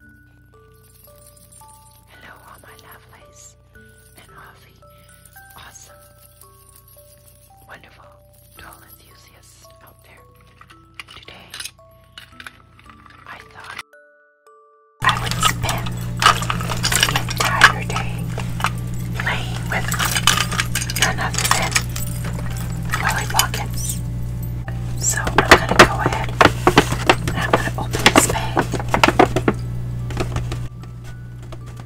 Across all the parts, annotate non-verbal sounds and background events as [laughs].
Hello, all my lovelies and awfully awesome, wonderful doll enthusiasts out there. Today, I thought I would spend the entire day playing with none other than Polly Pockets. So I'm gonna go ahead and I'm gonna open this bag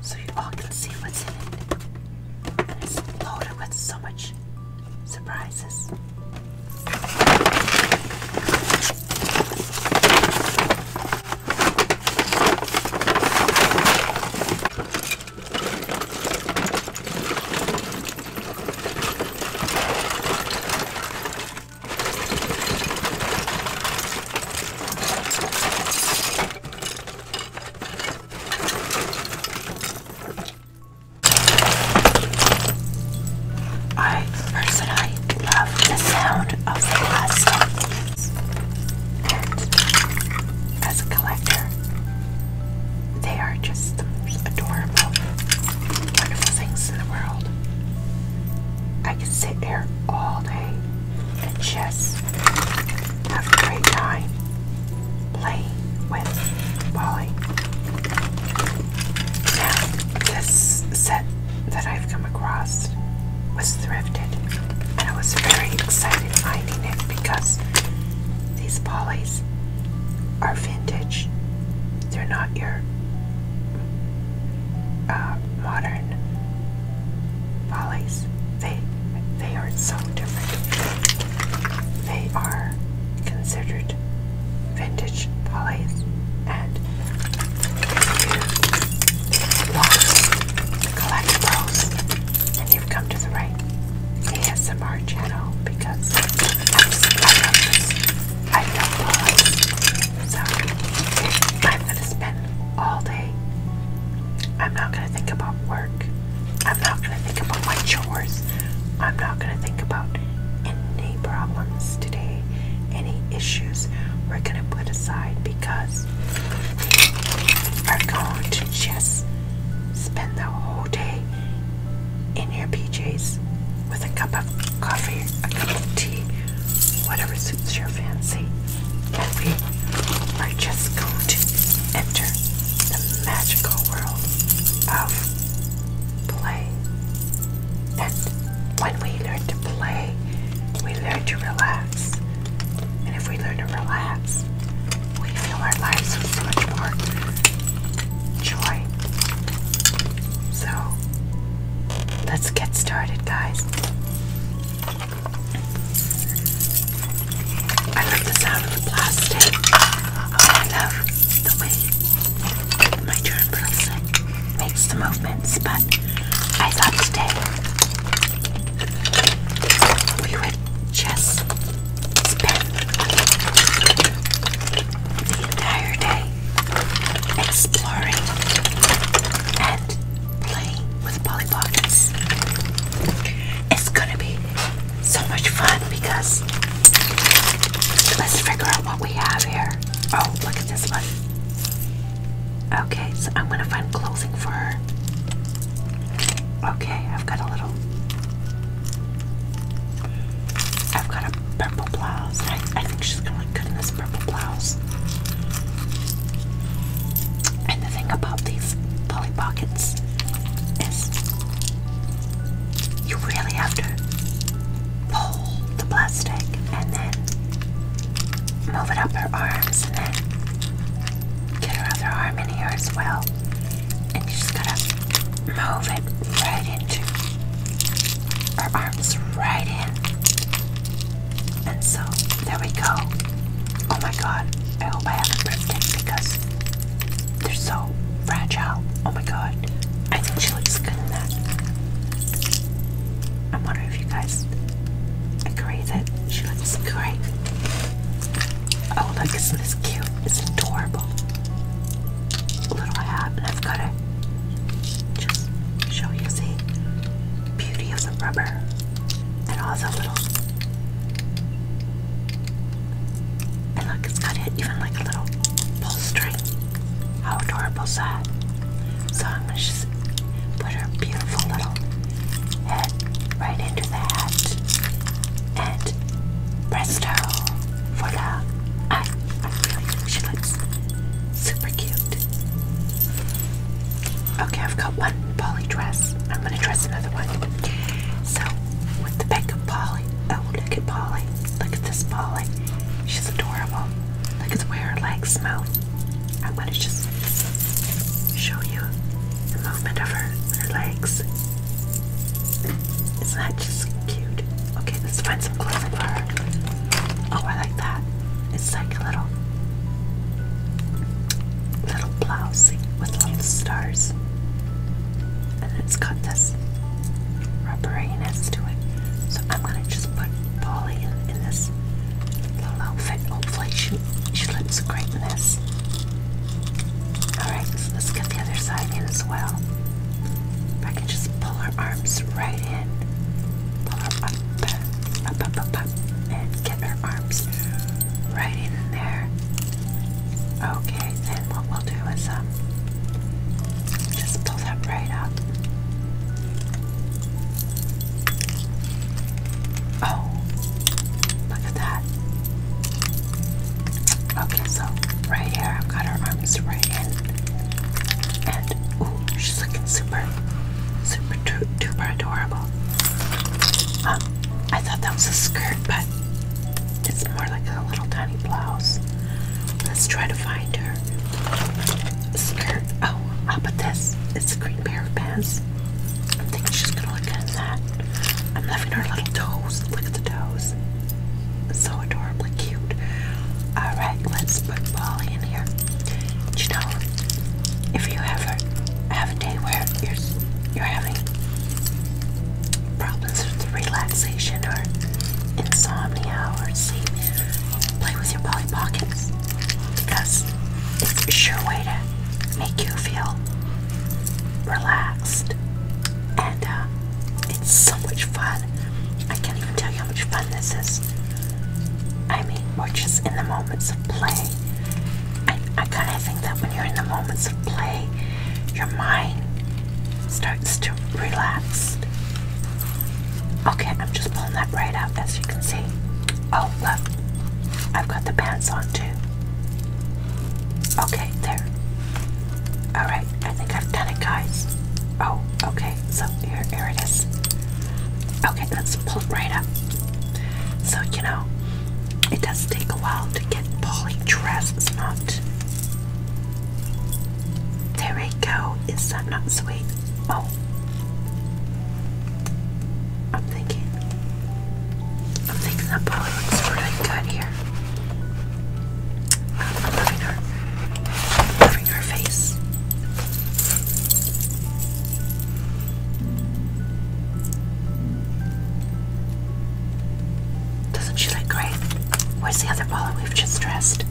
so you all can see what's in it. And it's loaded with so much surprises. I personally love the sound of the plastic, and as a collector, they are just the most adorable wonderful things in the world. I could sit there all day and just have a great time playing with Polly. Now, this set that I've come across was thrifted, and I was very excited finding it because these Polys are vintage they're not your uh, modern follies. They they are so different. They are considered vintage polys and if you want and you've come to the right ASMR channel because I know. So I'm gonna spend all day. I'm not gonna think about work. I'm not gonna think about my chores. I'm not gonna think about any problems today, any issues we're gonna put aside because we are going to just spend the whole day in your PJs with a cup of coffee, a cup of tea, whatever suits your fancy. And we are just going to enter the magical world of play. And when we learn to play, we learn to relax. And if we learn to relax, we feel our lives with so much more joy so let's get started, guys. I love the sound of plastic. I love the way my germ person makes movements, but I thought today we would just the entire day exploring and playing with Polly Pockets. It's gonna be so much fun because let's figure out what we have here. Oh, look at this one. Okay, so I'm gonna find clothing for her. Okay, I've got a little I've got a purple blouse. I, think she's gonna look good in this purple blouse. And the thing about these Polly Pockets is you really have to pull the plastic and then move it up her arms and then get her other arm in here as well and you're just gonna move it right into our arms, right in. And so there we go. Oh my god, I hope I haven't ripped it because they're so fragile. Oh my god, I think she looks good in that. i wonder if you guys agree that she looks great. Oh, look, isn't this cute? It's adorable little hat, and I've got to just show you the beauty of the rubber and all the little. And look, it's got even like a little pull How adorable is that? So I'm gonna just put her beautiful little head right into the hat, and presto for the eye. I really think she looks super cute. Okay, I've got one Polly dress. I'm gonna dress another one. So with the back of Polly. Oh look at Polly. Look at this Polly. She's adorable. Look at where her legs move. I'm gonna just show you the movement of her, her legs. Isn't that just cute? Okay, let's find some clothes for her. Oh, I like that. It's like a little little blouse with little stars. And it's got this rubberiness to it. So I'm gonna just put Polly in, this little outfit. Hopefully she she looks great in this. Alright, let's get the other side in as well. I can just pull her arms right in, pull her up, up, up, up, and get her arms right in there. Okay, then what we'll do is um, just pull that right up. Oh, look at that. Okay, so right here, I've got her arms right in. And, ooh, she's looking super, super duper adorable. Um, I thought that was a skirt, but it's more like a little tiny blouse. Let's try to find her skirt. Oh, I'll this. It's a green pair of pants. I'm thinking she's gonna look at that. I'm loving her little toes. Look at the toes so adorably cute. Alright, let's put Polly in here. You know, if you ever have a day where you're, you're having problems with relaxation or insomnia or sleep, play with your Polly Pockets because it's a sure way to make you feel relaxed and uh, it's so much fun. I can't even tell you how much fun this is. I mean, we're just in the moments of play. I, I kind of think that when you're in the moments of play, your mind starts to relax. Okay, I'm just pulling that right out as you can see. Oh, look, I've got the pants on too. Okay, there. Alright, I think I've done it, guys. Oh, okay, so here, here it is. Okay, let's pull it right up. So, you know, it does take a while to get Polly dress It's not. There we go. Is that not sweet? Oh. I'm thinking. I'm thinking that Polly looks really good here. I'm loving her. loving her face. Doesn't she look great? Where's the other ball we've just dressed?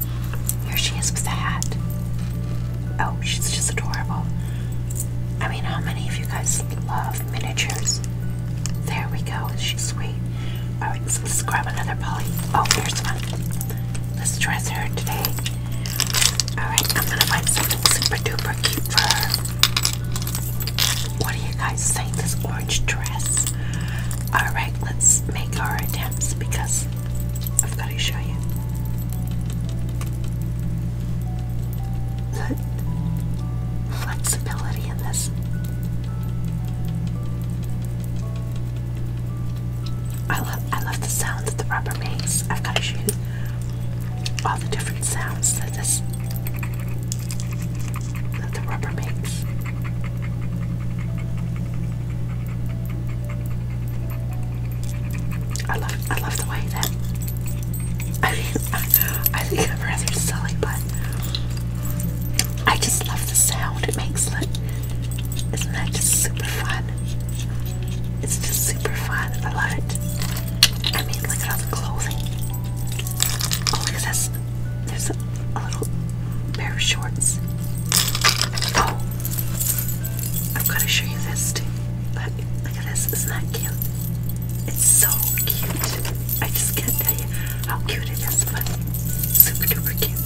Here she is with the hat. Oh, she's just adorable. I mean, how many of you guys love miniatures. There we go. She's sweet. Alright, let's grab another Polly. Oh, here's one. Let's dress her today. Alright, I'm gonna find something super duper cute for her. What do you guys think? This orange dress. Alright, let's make our attempts because I've got to show you. The flexibility in this. I love I love the sound that the rubber makes. I've got to shoot all the different sounds that this that the rubber makes. I love I love the way that [laughs] [laughs] I think I'm rather silly, but I just love the sound it makes. Look, isn't that just super fun? It's just super fun. I love it. I mean, look at all the clothing. Oh, look at this. There's a, a little pair of shorts. Oh, I've got to show you this too. Look, look at this. Isn't that cute? It's so cute. I just can't tell you how cute it is, but super duper cute.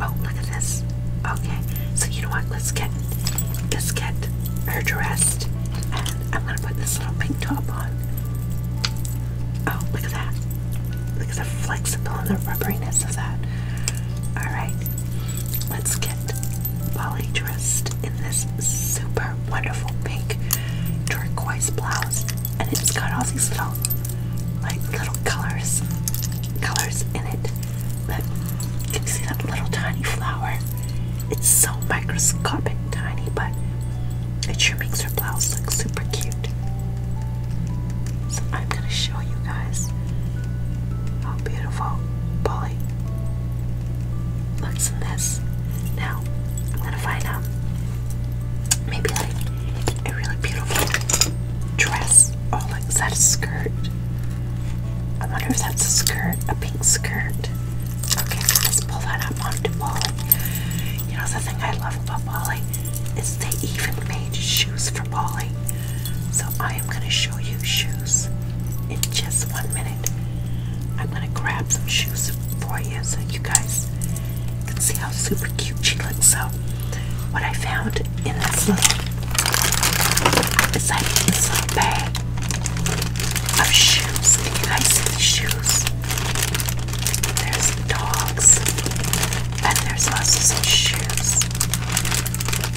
Oh, look at this. Okay, so you know what? Let's get let's get her dressed, and I'm gonna put this little pink top on. Oh, look at that! Look at the flexibility and the rubberiness of that. All right, let's get Polly dressed in this super wonderful pink turquoise blouse, and it's got all these little, like little colors, colors in it. But you can see that little tiny flower. It's so microscopic tiny, but it sure makes her blouse look super cute. So I'm gonna show you guys how beautiful Polly looks in this. Now I'm gonna find out. Maybe like a really beautiful dress or oh, like is that a skirt? I wonder if that's a skirt, a pink skirt. Okay, let's pull that up onto Bali. You know the thing I love about Bali is they even made shoes for Bali. So I am gonna show you shoes in just one minute. I'm gonna grab some shoes for you so you guys can see how super cute she looks. So, what I found in this little, it's this little bag of shoes. Can you guys see the shoes? There's dogs, and there's lots of shoes.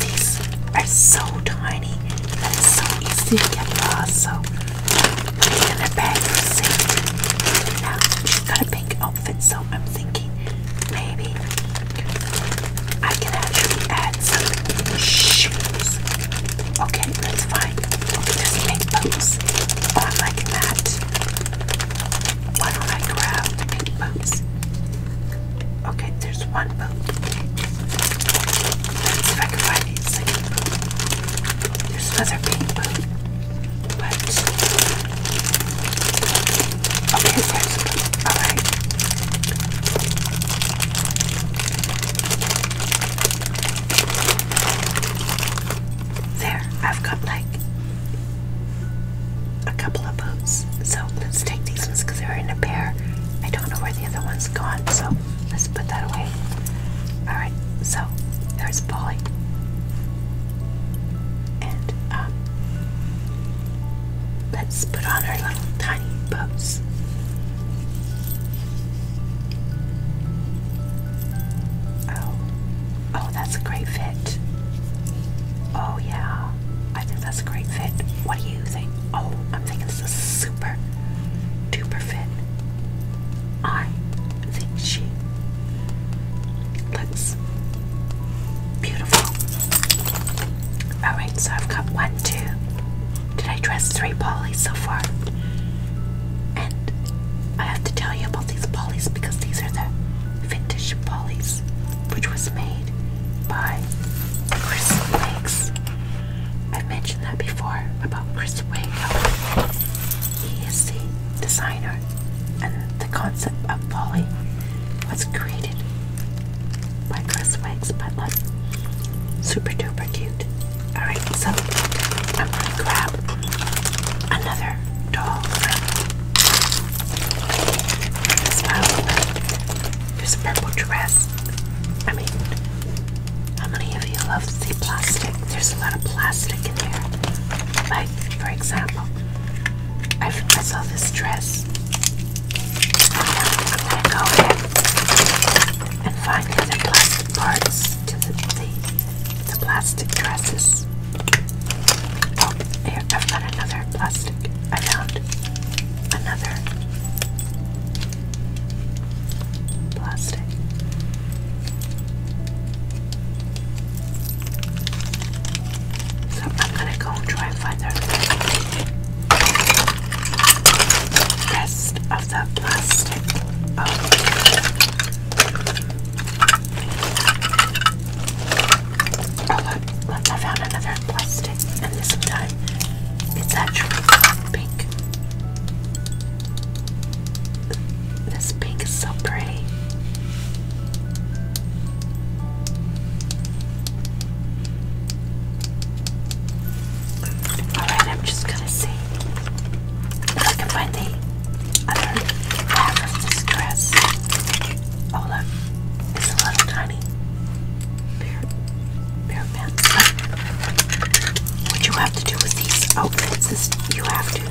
These are so tiny, and so easy to get lost. So in their bag Now, she's got a pink outfit, so I'm thinking maybe I can actually add some shoes. Okay, that's fine. Okay, there's pink boots. I'm that. Why don't I grab the pink boots? Okay, there's one boot. Let's see if I can find a second there's another pink boot. okay, there's alright. There, I've got like a couple of boots. So let's take these ones because they're in a pair. I don't know where the other one gone, so let's put that away. Alright, so there's Polly. And um, let's put on our little tiny boots. Oh, oh, that's a great fit. Oh, yeah, I think that's a great fit. What do you think? Oh, I'm thinking this is super duper fit. I think she looks beautiful. Alright, so I've got one, two. Did I dress three polys so far? And I have to tell you about these polys because these are the vintage polys, which was made by Chris Lakes. I've mentioned that before about Chris Wago. He is the designer, and the concept of Polly was created by Chris Wiggs, but look, super duper cute. Alright, so I'm gonna grab another doll from this pile. There's a purple dress. I mean, how many of you love to see plastic? There's a lot of plastic in here. Like, for example, I, I saw this dress. go ahead and find the plastic parts to the, the, plastic dresses. Oh, here, I've got another plastic. I found another plastic. So I'm gonna go try find the rest of the plastic. Oh, look, I found another plastic, and this time it's actually pink. This pink is so pretty. Alright, I'm just gonna see if I can find the other half of this dress. Oh, look, it's a little tiny. There. Bare pants. What you have to do with these outfits is you have to.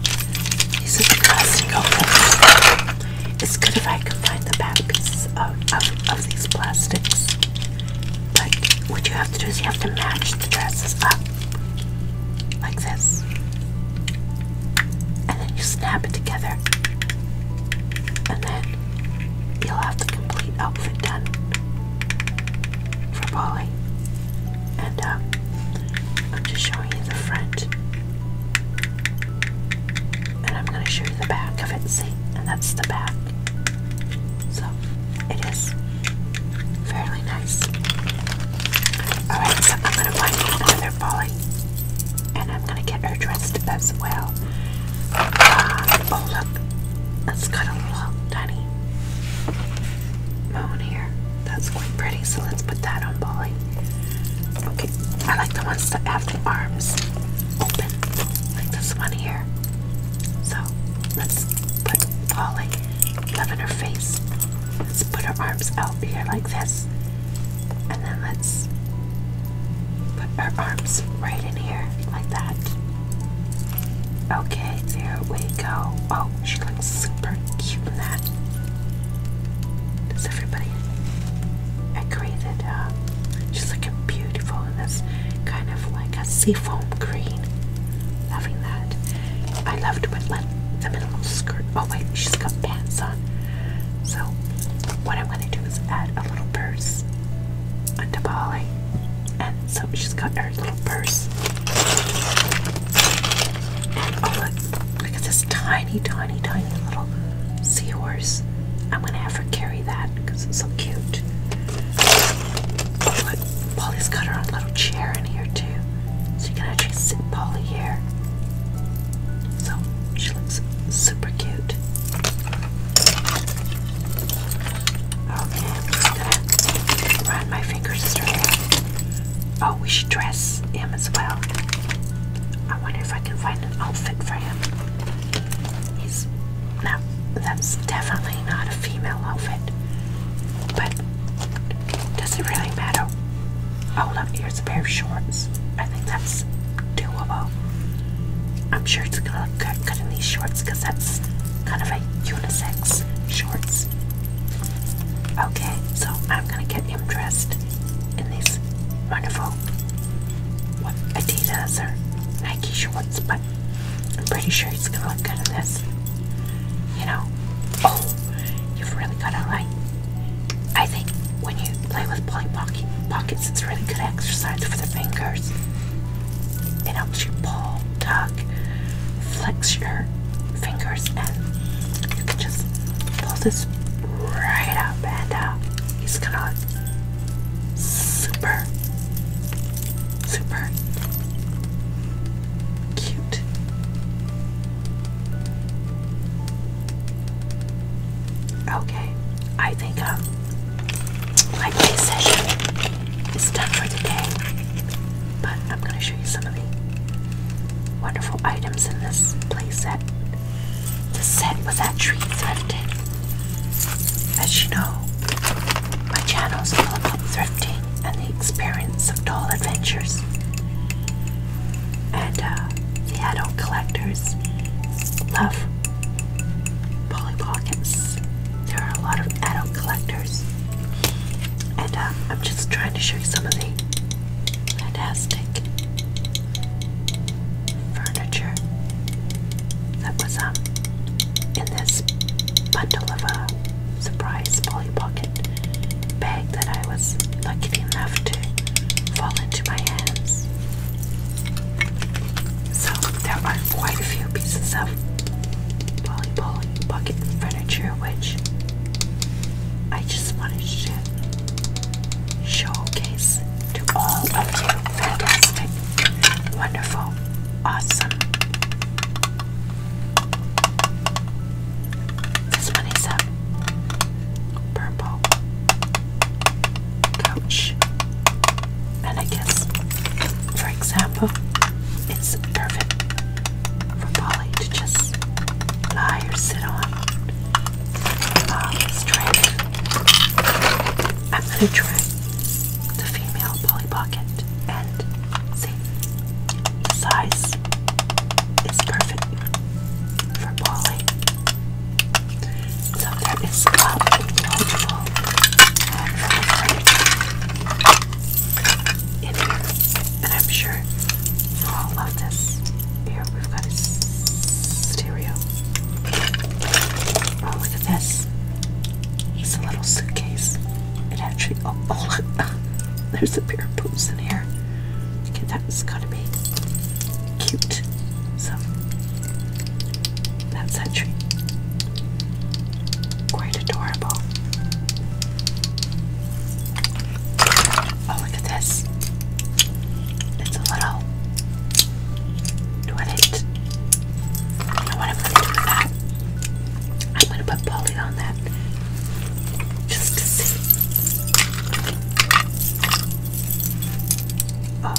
These are the plastic outfits. It's good if I can find the back pieces of, of, of these plastics. But what you have to do is you have to match the dresses up. Like this. And then you snap it together. And then you'll have the complete outfit done for Polly. And um, I'm just showing you the front. And I'm going to show you the back of it, see? And that's the back. So it is fairly nice. Alright, so I'm going to find another Polly. And I'm going to get her dressed as well. Ah, oh, look. It's got a little tiny Bonnie. here. That's quite pretty, so let's put that on Polly. Okay, I like the ones that have the arms open, like this one here. So let's put Polly in her face. Let's put her arms out here like this. And then let's put her arms right in here like that. Okay, there we go. Oh, she looks super cute in that. Does everybody agree that uh, she's looking beautiful in this kind of like a seafoam green? Loving that. I loved with like the minimal skirt. Oh wait, she's got pants on. So what i want to do is add a little purse onto Bali, and so she's got her Oh, look, look at this tiny, tiny, tiny little seahorse. I'm gonna have her carry that because it's so cute. Oh, look, Polly's got her own little chair in here too. So you can actually sit Polly here. So she looks super cute. Okay, run my fingers through. Oh, we should dress him as well. I wonder if I can find an outfit for him. He's not, that's definitely not a female outfit. But does it really matter? Oh, look, here's a pair of shorts. I think that's doable. I'm sure it's gonna look good, in these shorts because that's kind of a unisex shorts. Okay, so I'm gonna get him dressed in these wonderful Adidas or Nike shorts, but I'm pretty sure he's gonna look good in this. You know, oh, you've really gotta like. I think when you play with Polly Pockets, it's a really good exercise for the fingers. It helps you pull, tug, flex your fingers, and you can just pull this right up. And uh, he's gonna super, super cute. Okay, I think um my play session is done for today, but I'm going to show you some of the wonderful items in this play set. This set was actually thrifted. As you know, my channel is all about thrifting and the experience of doll adventures. And uh, the adult collectors love Polly Pockets there are a lot of adult collectors, and um, I'm just trying to show you some of the fantastic furniture that was um, in this bundle of a surprise Polly Pocket bag that I was lucky enough to fall into my hands. So there are quite a few pieces of Polly Polly bucket furniture which I just wanted to showcase to all of you. Fantastic, wonderful, awesome. This one is a purple coach. And I guess, for example, it's perfect for Polly to just lie or sit on um, I'm gonna try the female Polly Pocket and see. The size is perfect for Polly. So there is a multiple and I'm sure you all love this. Here we've got a stereo. Oh, look at this! It's a little suitcase. It actually oh, [laughs] oh there's a pair of boots in here. That is going to be cute. So that century. Quite adorable. Oh, look at this. It's a little. Do I need? to do that? I'm going to put Polly on that just to see. Oh,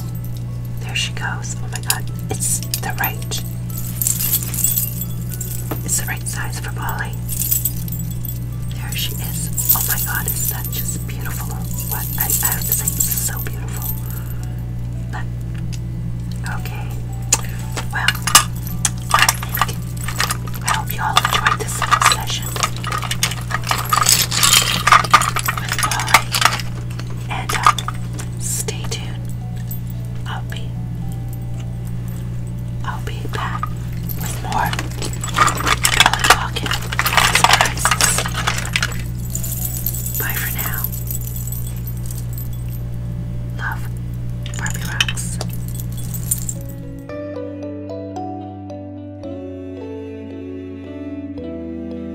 there she goes. Oh my god, it's the right. It's the right size for Molly. There she is. Oh my god, is that just beautiful? What? I, I have to say, this so beautiful. But, okay. Well, I hope you all enjoyed this session with Molly. And, um, Stay tuned. I'll be I'll be back with more color surprises. Bye for now. Love Barbie Rocks.